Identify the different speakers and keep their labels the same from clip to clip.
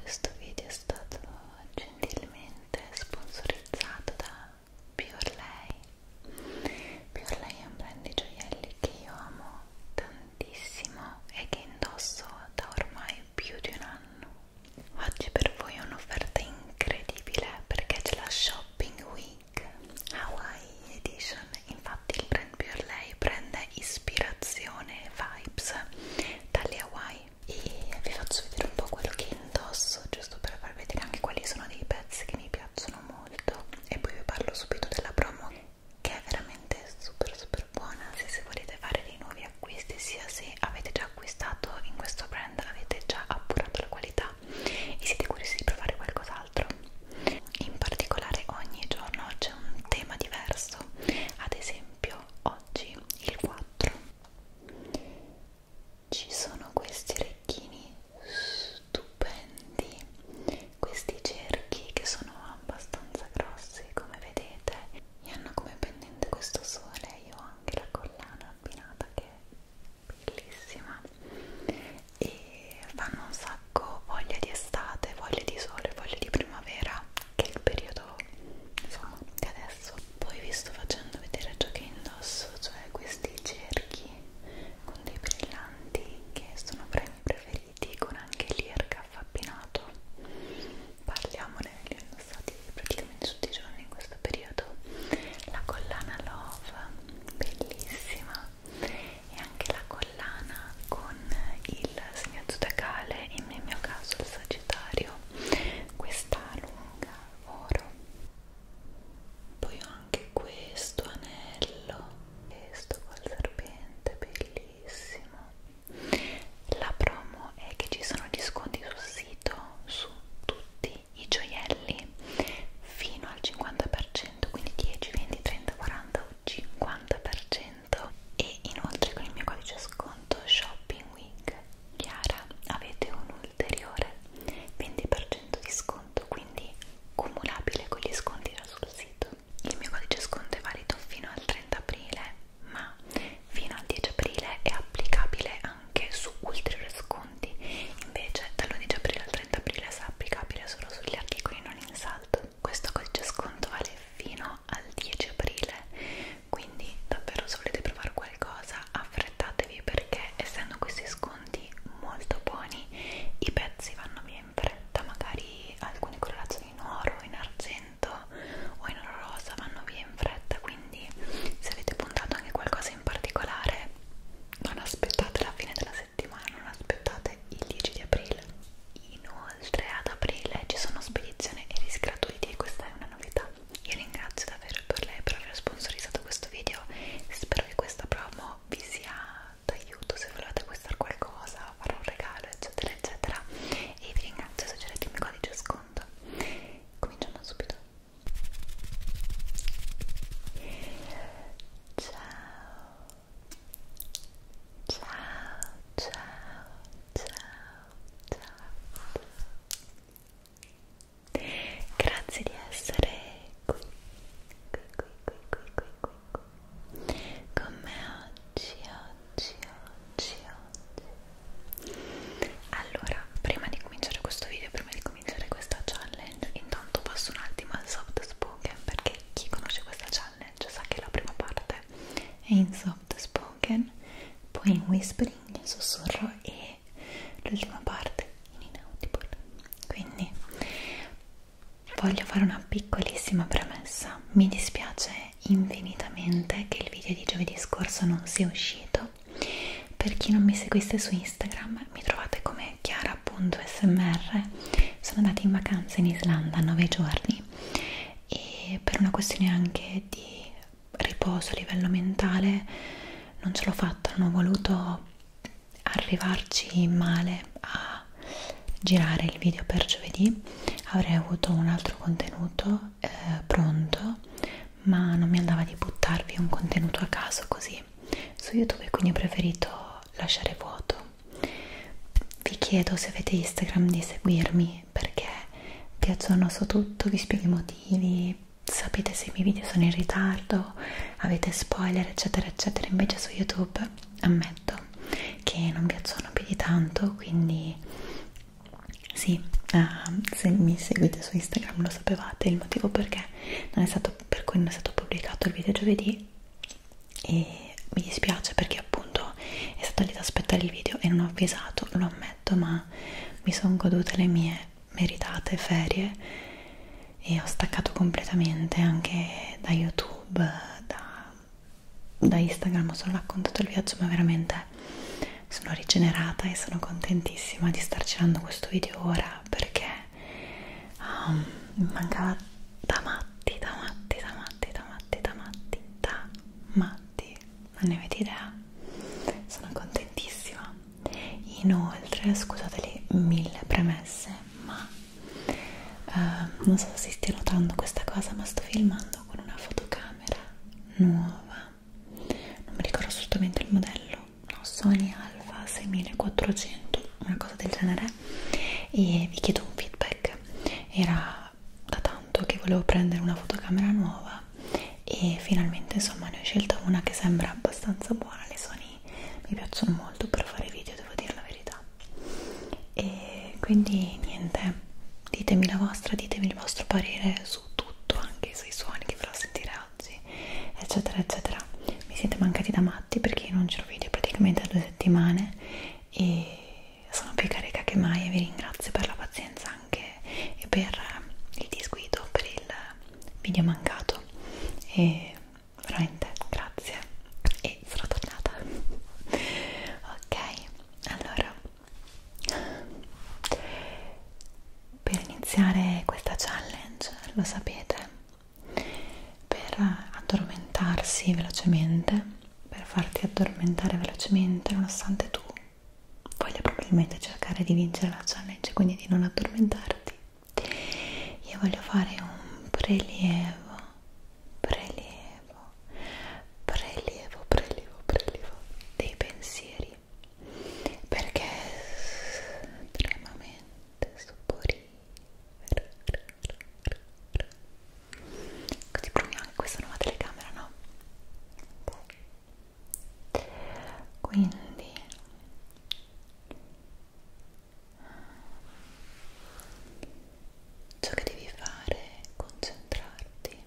Speaker 1: Questo video è stato gentilmente sponsorizzato da Pure Lei. Pure Lei è un brand di gioielli che io amo tantissimo tantissimo e che indosso da ormai più di un anno. Oggi per voi è un'offerta incredibile perché c'è la Shopping Week Hawaii Edition. Infatti, il brand Pure Lei prende ispirazione e vibes dalle Hawaii. E vi faccio vedere un po' quello che indosso, giusto per far vedere anche quali sono dei pezzi che mi piacciono molto. E poi vi parlo subito della promo che è veramente super super buona se, se volete fare dei nuovi acquisti sia se avete già acquistato in questo brand avete già appurato la qualità e siete curiosi di provare qualcos'altro in particolare ogni giorno c'è un tema diverso ad esempio oggi il 4 ci sono questi orecchini stupendi questi cerchi che sono abbastanza grossi come vedete e hanno come pendente questo sole io ho anche la collana abbinata che è bellissima e fanno un sacco voglia di estate voglia di sole voglia di primavera che è il periodo insomma di adesso poi vi sto facendo vedere ciò che indosso cioè questi cerchi con dei brillanti che sono fra i miei preferiti vestiti con anche l'earcuff appinato parliamone, li ho indossati praticamente tutti i giorni in questo periodo la collana Love, bellissima e anche la collana con il segno zodiacale, nel mio caso il sagittario questa lunga oro poi ho anche questo anello questo col serpente, bellissimo bellissimo la promo è che ci sono gli sconti sul sito su tutti i gioielli fino al 50% quindi 10, 20, 30, 40 o 50% e inoltre con il mio codice sconto shopping week chiara avete un ulteriore 20% di sconto quindi cumulabile con gli sconti già sul sito il mio codice sconto è valido fino al 30 aprile ma fino al 10 aprile è applicabile anche su ulteriori sconti invece dall'11 aprile al 30 aprile sarà applicabile solo sugli articoli non in saldo questo codice sconto vale fino al 10 aprile quindi davvero se volete provare qualcosa affrettatevi perché essendo questi sconti molto buoni i pezzi vanno via in fretta magari alcune colorazioni in oro, in argento o in oro rosa vanno via in fretta quindi se avete puntato anche qualcosa in particolare non aspettate la fine della settimana non aspettate il 10 di aprile inoltre ad aprile ci sono spedizioni e rischi gratuiti e questa è una novità io ringrazio davvero per lei per aver sponsorizzato questo video spero che questa promo vi sia d'aiuto se volete acquistare qualcosa, fare un regalo, eccetera, eccetera. E vi ringrazio se cercate il mio codice sconto. Cominciamo subito. Ciao, ciao, ciao, ciao, ciao. Grazie di essere qui, qui, qui, qui, qui, qui, qui, qui con me oggi, oggi, oggi, oggi. Allora, prima di cominciare questo video, prima di cominciare questa challenge, intanto passo un attimo al soft spoken perché chi conosce questa challenge sa che la prima parte è in soft spoken, poi in whispering, in sussurro e l'ultima parte in inaudible. Quindi Voglio fare una piccolissima premessa. Mi dispiace infinitamente che il video di giovedì scorso non sia uscito. Per chi non mi seguisse su Instagram, mi trovate come chiara.smr. Sono andata in vacanza in Islanda 9 giorni e per una questione anche di riposo a livello mentale non ce l'ho fatta, non ho voluto arrivarci male a a girare il video per giovedì avrei avuto un altro contenuto eh, pronto ma non mi andava di buttarvi un contenuto a caso così su youtube quindi ho preferito lasciare vuoto vi chiedo se avete instagram di seguirmi perché piacciono su tutto vi spiego i motivi sapete se i miei video sono in ritardo avete spoiler eccetera eccetera invece su youtube ammetto che non piacciono più di tanto quindi sì, uh, se mi seguite su Instagram lo sapevate il motivo perché non è stato, per cui non è stato pubblicato il video giovedì e mi dispiace perché appunto è stato lì ad aspettare il video e non ho avvisato, lo ammetto ma mi sono godute le mie meritate ferie e ho staccato completamente anche da YouTube, da da Instagram ho solo raccontato il viaggio ma veramente sono rigenerata e sono contentissima di star girando questo video ora perché um, mancava da matti, da matti, da matti, da matti, da matti, da matti, non ne avete idea? Sono contentissima. Inoltre, scusate le mille premesse, ma Uh, non so se stia notando questa cosa, ma sto filmando con una fotocamera nuova. Non mi ricordo assolutamente il modello, no, Sony Alpha 6400, una cosa del genere. E vi chiedo un feedback. Era da tanto che volevo prendere una fotocamera nuova e finalmente insomma ne ho scelta una che sembra abbastanza buona le Sony mi, mi piacciono molto per fare video, devo dire la verità. E quindi niente, ditemi la vostra, ditemi il vostro parere su tutto, anche sui suoni che farò sentire oggi, eccetera, eccetera. Mi siete mancati da matti perché io non giro video praticamente da due settimane e sono più carica che mai e vi ringrazio per la pazienza anche e per il disguido, per il video mancato. E veramente grazie e sono tornata ok allora per iniziare questa challenge lo sapete per addormentarsi velocemente per farti addormentare velocemente nonostante tu voglia probabilmente cercare di vincere la challenge quindi di non addormentarti io voglio fare un prelievo prelievo prelievo prelievo prelievo dei pensieri perché estremamente soporifero così proviamo anche questa nuova telecamera no? quindi ciò che devi fare è concentrarti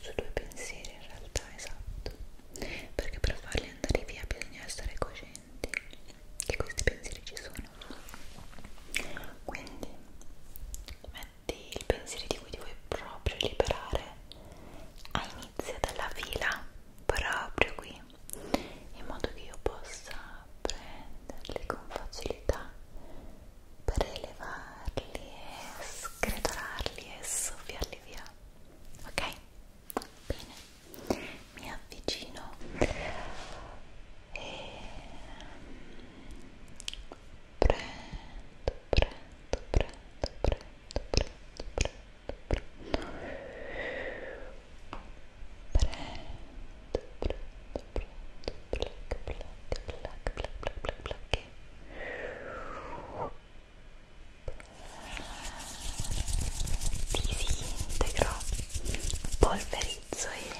Speaker 1: su due pensieri in realtà esatto perché per farli andare via bisogna essere coscienti che questi pensieri ci sono quindi metti il pensiero di cui ti vuoi proprio liberare a inizio della fila proprio qui in modo che io possa prenderli con facilità per elevarli e sgretolarli e soffiarli via ok? bene mi avvicino e prendo prendo prendo prendo prendo prendo prendo prendo, prendo, prendo, black, black, black, black, black, black, black. disintegro, polverizzo e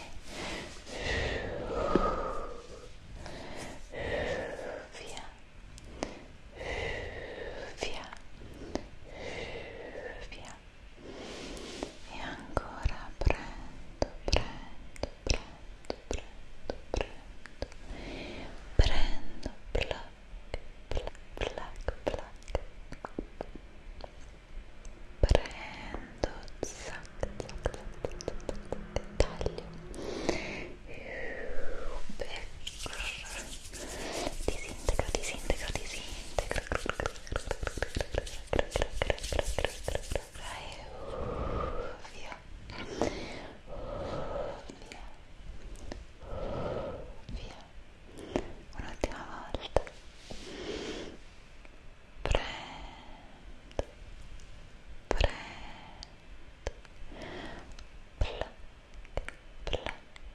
Speaker 1: via, via, via e ancora prendo, prendo, prendo, prendo, prendo, prendo, pluck, pluck, pluck, pluck, prendo, zac, zac, zac, zac, zac, taglio, ecco, disintegro, disintegro, disintegro e via via via un'ultima volta prendo prendo plac plac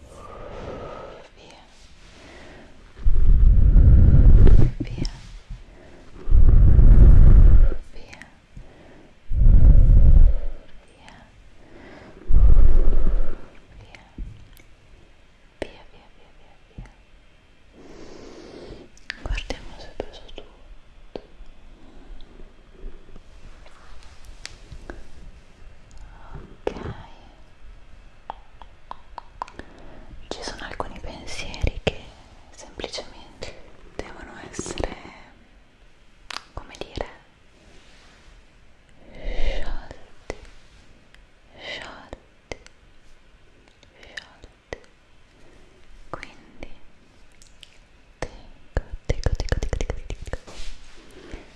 Speaker 1: via via via via via via via via via via guardiamo se ho preso tutto ok ci sono alcuni pensieri che semplicemente devono essere come dire sciolti sciolti sciolti quindi dico dico dico dico dico dico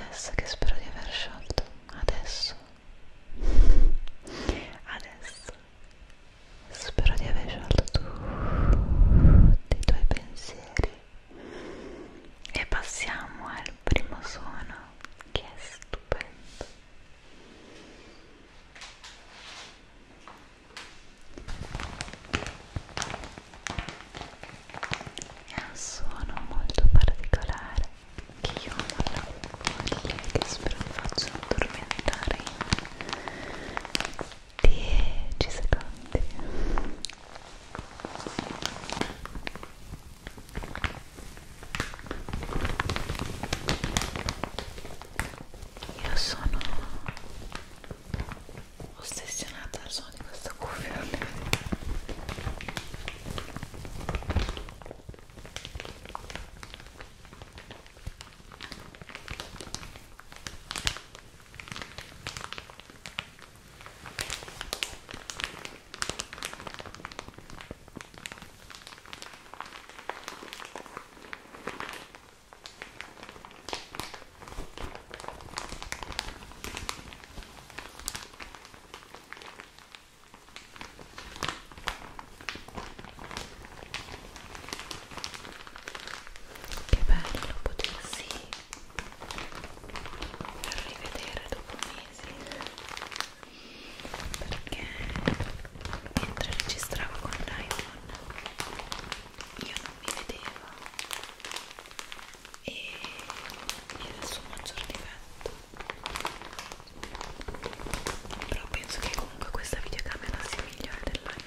Speaker 1: Adesso che spero di aver sciolto, adesso, adesso spero di aver sciolto tutti i tuoi pensieri e passiamo al primo suono che è stupendo è un suono molto particolare che io non la voglio che spero faccio addormentare in 10 secondi io sono ossessionata al suono di questo cuffione. Che bello potersi per rivedere dopo mesi perché mentre registravo con l'iPhone io non mi vedevo e era il suo maggior difetto però penso che comunque questa videocamera sia migliore dell'iPhone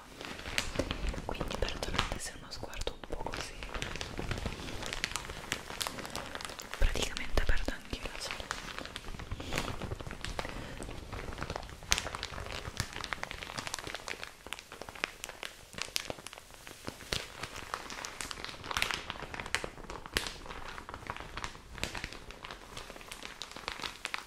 Speaker 1: quindi perdonate se è uno sguardo un po' così praticamente perdo anche la sorella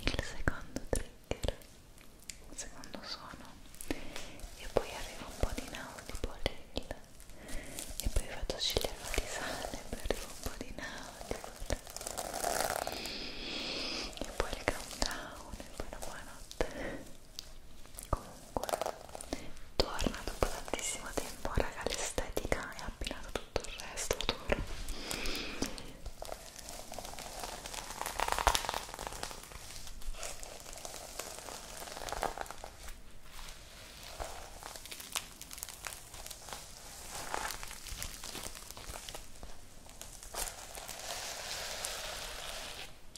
Speaker 1: il secondo trigger il secondo suono e poi arriva un po' di inaudible e poi faccio scegliere la tisana e poi arriva un po' di inaudible e poi il countdown e poi la buonanotte comunque comunque torna dopo tantissimo tempo raga l'estetica e ha abbinato tutto il resto adoro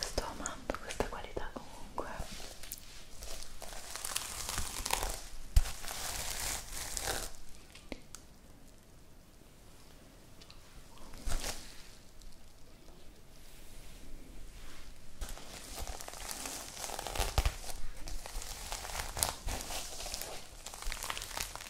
Speaker 1: sto amando questa qualità comunque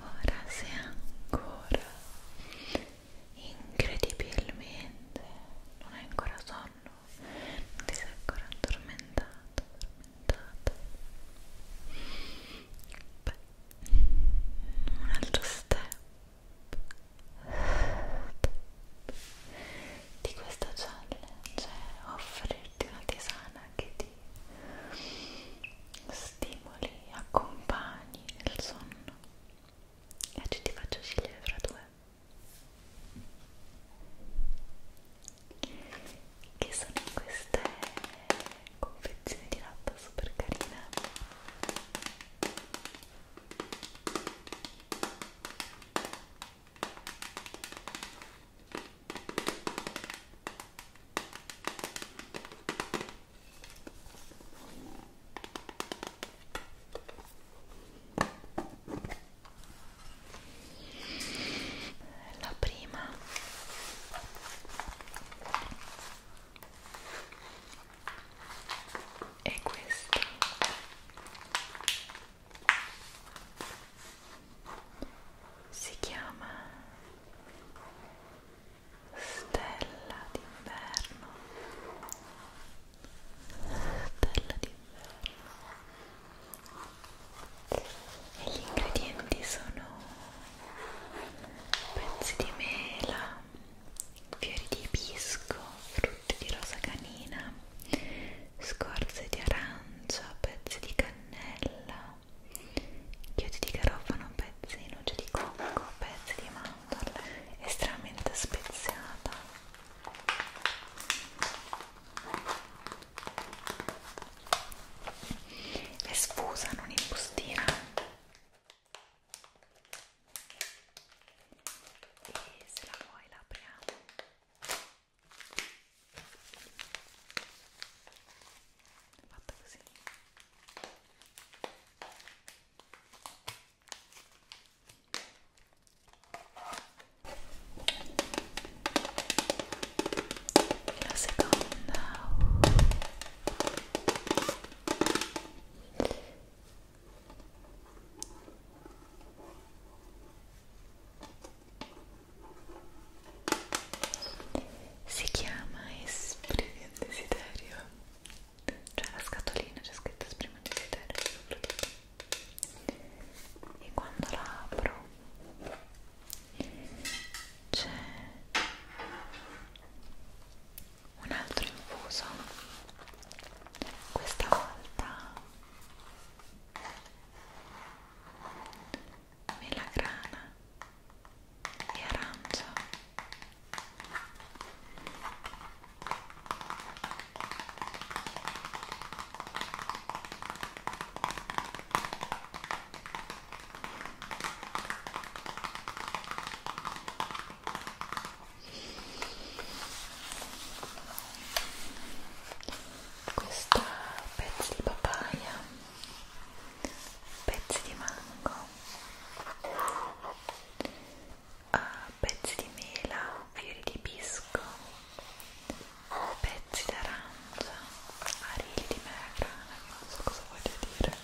Speaker 1: Ora sei ancora incredibilmente non hai ancora sonno, non ti sei ancora addormentato, addormentato. Beh, un altro step di questa challenge è offrirti una tisana che ti stimoli, accompagni nel sonno e oggi ti faccio scegliere fra due che sono queste confezioni di latta super carine la prima è questa si chiama Stella d'inverno Stella d'inverno e gli ingredienti sono pezzi di mela fiori di pisco, frutti di rosa canina, scorze di arancia, pezzi di cannella, chiodi di garofano, pezzi di noce di cocco, pezzi di mandorla, estremamente speziata. È sfusa, non in bustina e se la vuoi la apriamo fatta così e la seconda si chiama esprimi un desiderio cioè la scatolina c'è scritto esprimi un desiderio e quando la apro c'è un altro infuso questa volta melagrana e arancio questo pezzi di papaya pezzi di mango ah, pezzi di mela fiori di pisco pezzi d'arancia arili di melagrana non so cosa voglio dire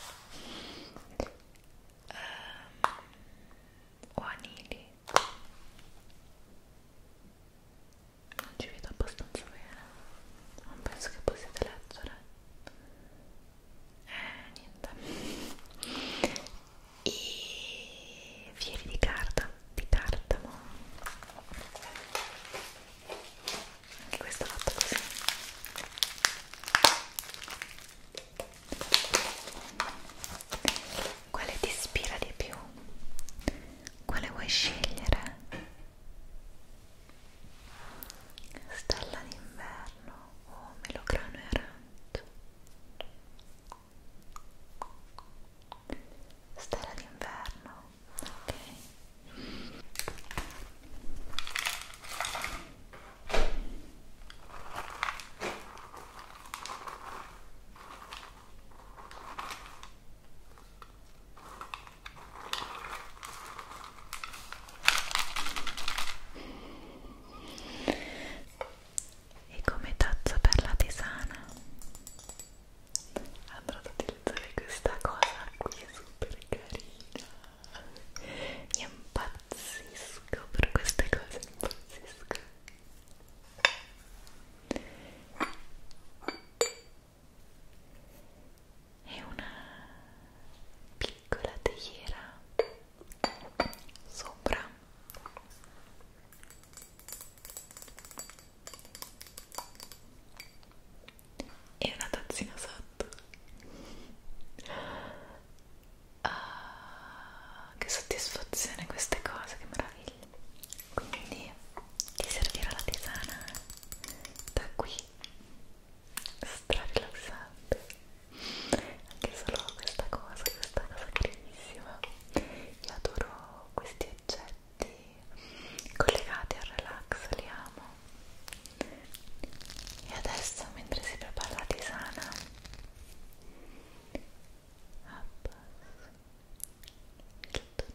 Speaker 1: um, o anili non ci vedo abbastanza bene non penso che possiate leggere eh niente e fieri di carta di tartamo anche questo è fatto così quale ti ispira di più? Quale vuoi scegliere? Stella d'inverno o oh, melograno e arancio? Stella d'inverno, ok e come tazza per la tisana andrò ad utilizzare questa cosa qui è super carina io impazzisco per queste cose, impazzisco. È una piccola teiera sopra. E una tazzina sotto Ah, che soddisfazione queste cose, che meraviglia! Quindi ti servirà la tisana da qui, stra rilassante, anche solo questa cosa, questa cosa carissima. Io adoro questi oggetti collegati al relax, li amo e adesso mentre si prepara la tisana abbasso il tono Ecco,